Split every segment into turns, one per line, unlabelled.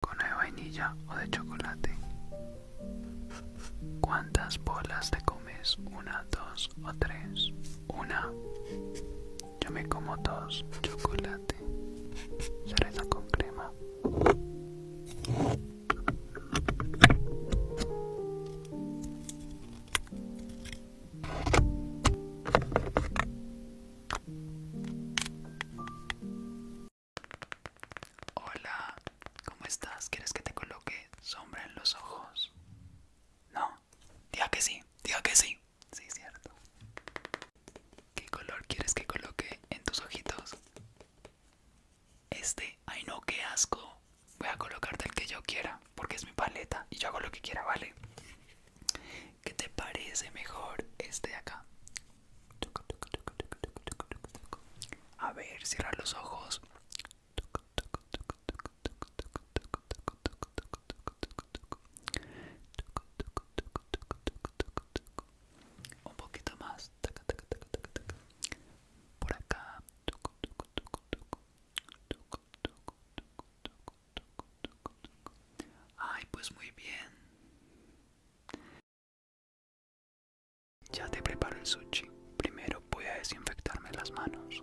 con de vainilla o de chocolate. ¿Cuántas bolas te comes? ¿Una, dos o tres? Una. Yo me como dos. Chocolate. Cereza con crema. Hola, ¿cómo estás? ¿Quieres que te coloque sombra en los ojos? No, diga que sí, diga que sí. Sí, cierto. ¿Qué color quieres que coloque en tus ojitos? Este, ay no, qué asco. Voy a colocarte el que yo quiera, porque es mi paleta y yo hago lo que quiera, ¿vale? ¿Qué te parece mejor este de acá? A ver, cierra los ojos. Un
poquito más. Por acá. Ay, pues muy bien. Ya te preparo el sushi. Primero voy a desinfectarme las manos.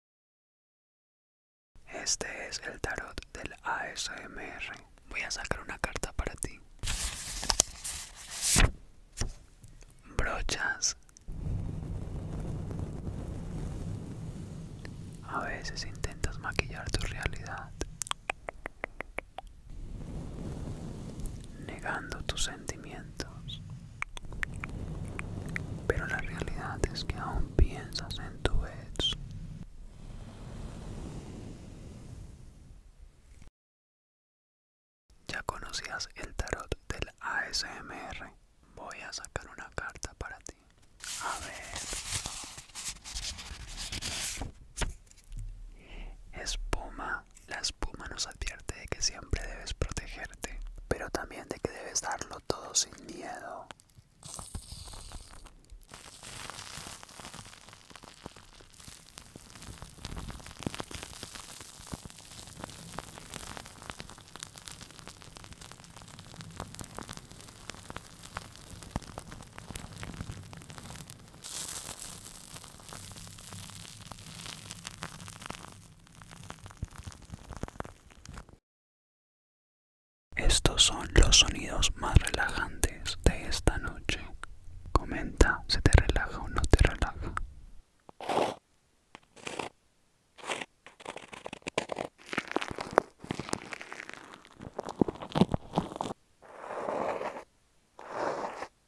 Este es el tarot del ASMR. Voy a sacar una carta para ti. Brochas. A veces intentas maquillar tu realidad, negando tus sentimientos.
Pero la realidad es que aún piensas en tu ex. Ya conocías el tarot del ASMR. Voy a sacar una carta para
ti. A ver. Espuma. La espuma nos advierte de que siempre debes protegerte, pero también de que debes darlo todo sin miedo.
Estos son los sonidos más relajantes de esta noche. Comenta
si te relaja o no te relaja.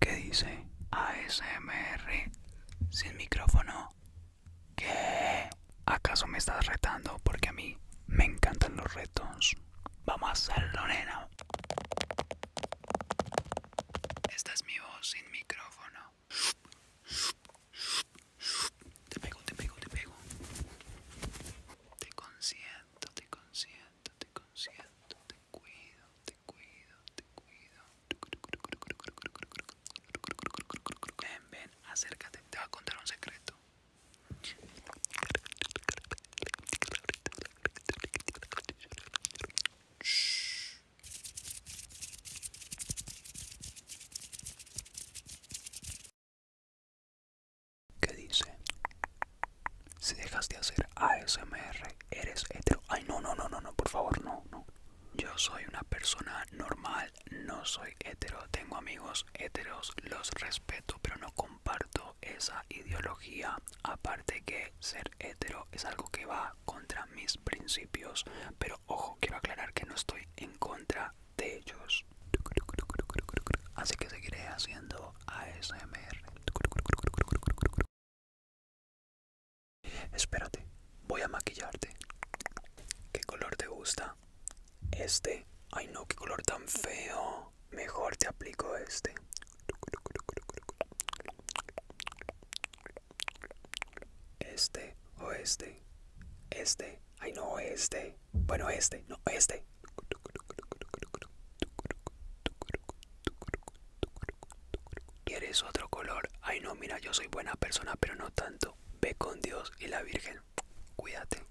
¿Qué dice ASMR sin micrófono. ¿Qué? ¿Acaso
me estás retando? Porque a mí me encantan los retos. Vamos a hacerlo, nena. Esta es mi voz sin micrófono. Te pego, te pego, te pego. Te consiento, te consiento, te consiento, te cuido, te te cuido, te cuido.
Ven, ven, acércate, te voy a contar un secreto. ¿Qué dice? Si dejas de hacer ASMR, eres hetero. Ay, no, no, no, no, no, por favor, no, no. Yo soy una persona normal,
no soy hetero. Tengo amigos heteros, los respeto, pero no comparto esa ideología. Aparte que ser hetero es algo que va contra mis principios. Pero ojo, quiero aclarar que no estoy en contra de ellos.
Así que seguiré haciendo ASMR. Espérate, voy a maquillarte. ¿Qué color te gusta? Este. Ay no, qué color tan feo. Mejor te aplico este.
Este o este. Este. Ay no, este. Bueno, este. No, este. ¿Quieres otro color? Ay no, mira, yo soy buena persona, pero no tanto. Ve con Dios y la Virgen. Cuídate.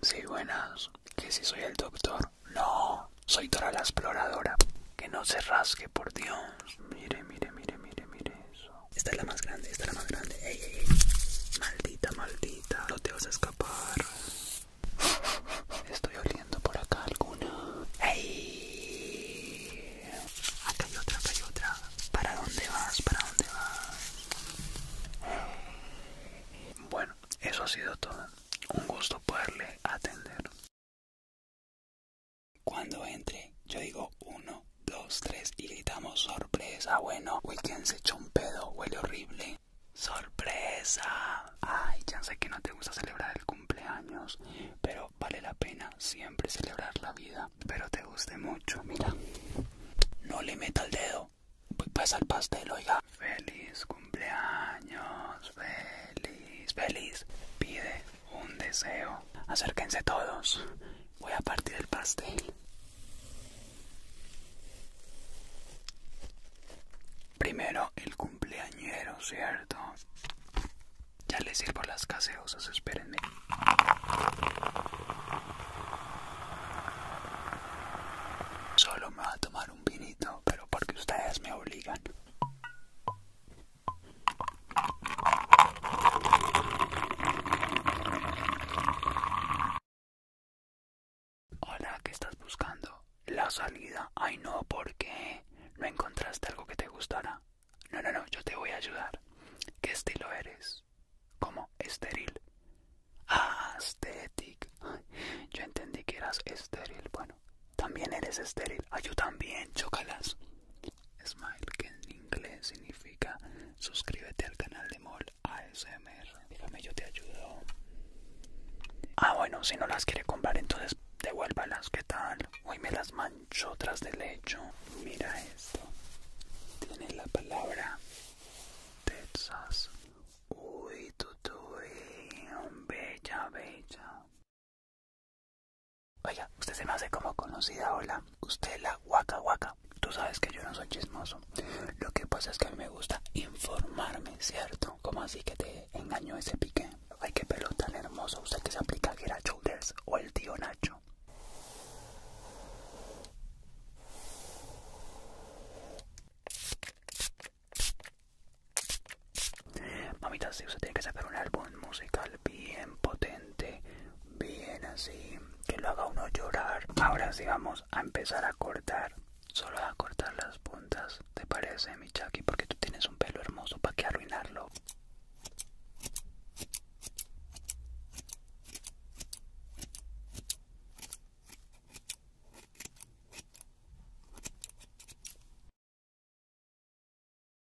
Sí, buenas. Que si soy el doctor. No, soy toda la exploradora. Que no se rasque, por Dios. Mire, mire, mire, mire, mire eso. Esta es la más grande, esta es la más grande. Maldita, maldita. No te vas a escapar. Estoy oliendo por acá alguna. ¡Ey! Acá hay otra, acá hay otra. ¿Para dónde vas? ¿Para dónde vas?
Bueno, eso ha sido todo. Un gusto poderle atender. Cuando entre, yo digo uno, dos, tres y gritamos sorpresa. Bueno, güey, ¿quién se echó un pedo? Huele horrible. ¡Sorpresa! Ay, ya sé que no te gusta
celebrar el cumpleaños, pero vale la pena siempre celebrar la vida. Pero te guste mucho, mira. No le meta el dedo. Voy Pasa al pastel, oiga. Feliz cumpleaños, feliz, feliz. Pide un deseo. Acérquense todos. Voy a partir el pastel. Primero el cumpleañero, ¿cierto? Ya les sirvo las caseosas, espérenme. Solo me va a tomar un vinito, pero porque ustedes me obligan.
Hola, ¿qué estás buscando? La salida. Ay, no, ¿por qué? ¿No encontraste algo que te gustara? No, no,
no, yo te voy a ayudar. ¿Qué estilo eres? ¿Cómo? Estéril. Aesthetic. Yo entendí que eras estéril. Bueno, también eres estéril. Ay, yo también, chocalas Smile, que en inglés significa
suscríbete al canal de Mol ASMR. Dígame, yo te ayudo.
Ah, bueno, si no las quiere comprar, entonces devuélvalas. ¿Qué tal? Uy, me las mancho tras del lecho. Mira esto. Tiene la palabra
Texas. Uy, tutuy, bella, bella. Oiga, usted se me hace como conocida, hola. Usted la guaca guaca. Tú sabes que yo no soy chismoso. Lo que pasa es que a mí me gusta
informarme, ¿cierto? ¿Cómo así que te engañó ese pique? Ay, qué pelo tan hermoso. Usted que se aplica Gera Shoulders o el tío Nacho.
Mamita, si usted tiene que sacar un álbum musical bien potente, Bien así, que lo haga uno llorar. Ahora sí vamos a
empezar a cortar. Solo a cortar las puntas, ¿te parece, mi Chucky? Porque tú tienes un pelo hermoso, ¿para qué arruinarlo?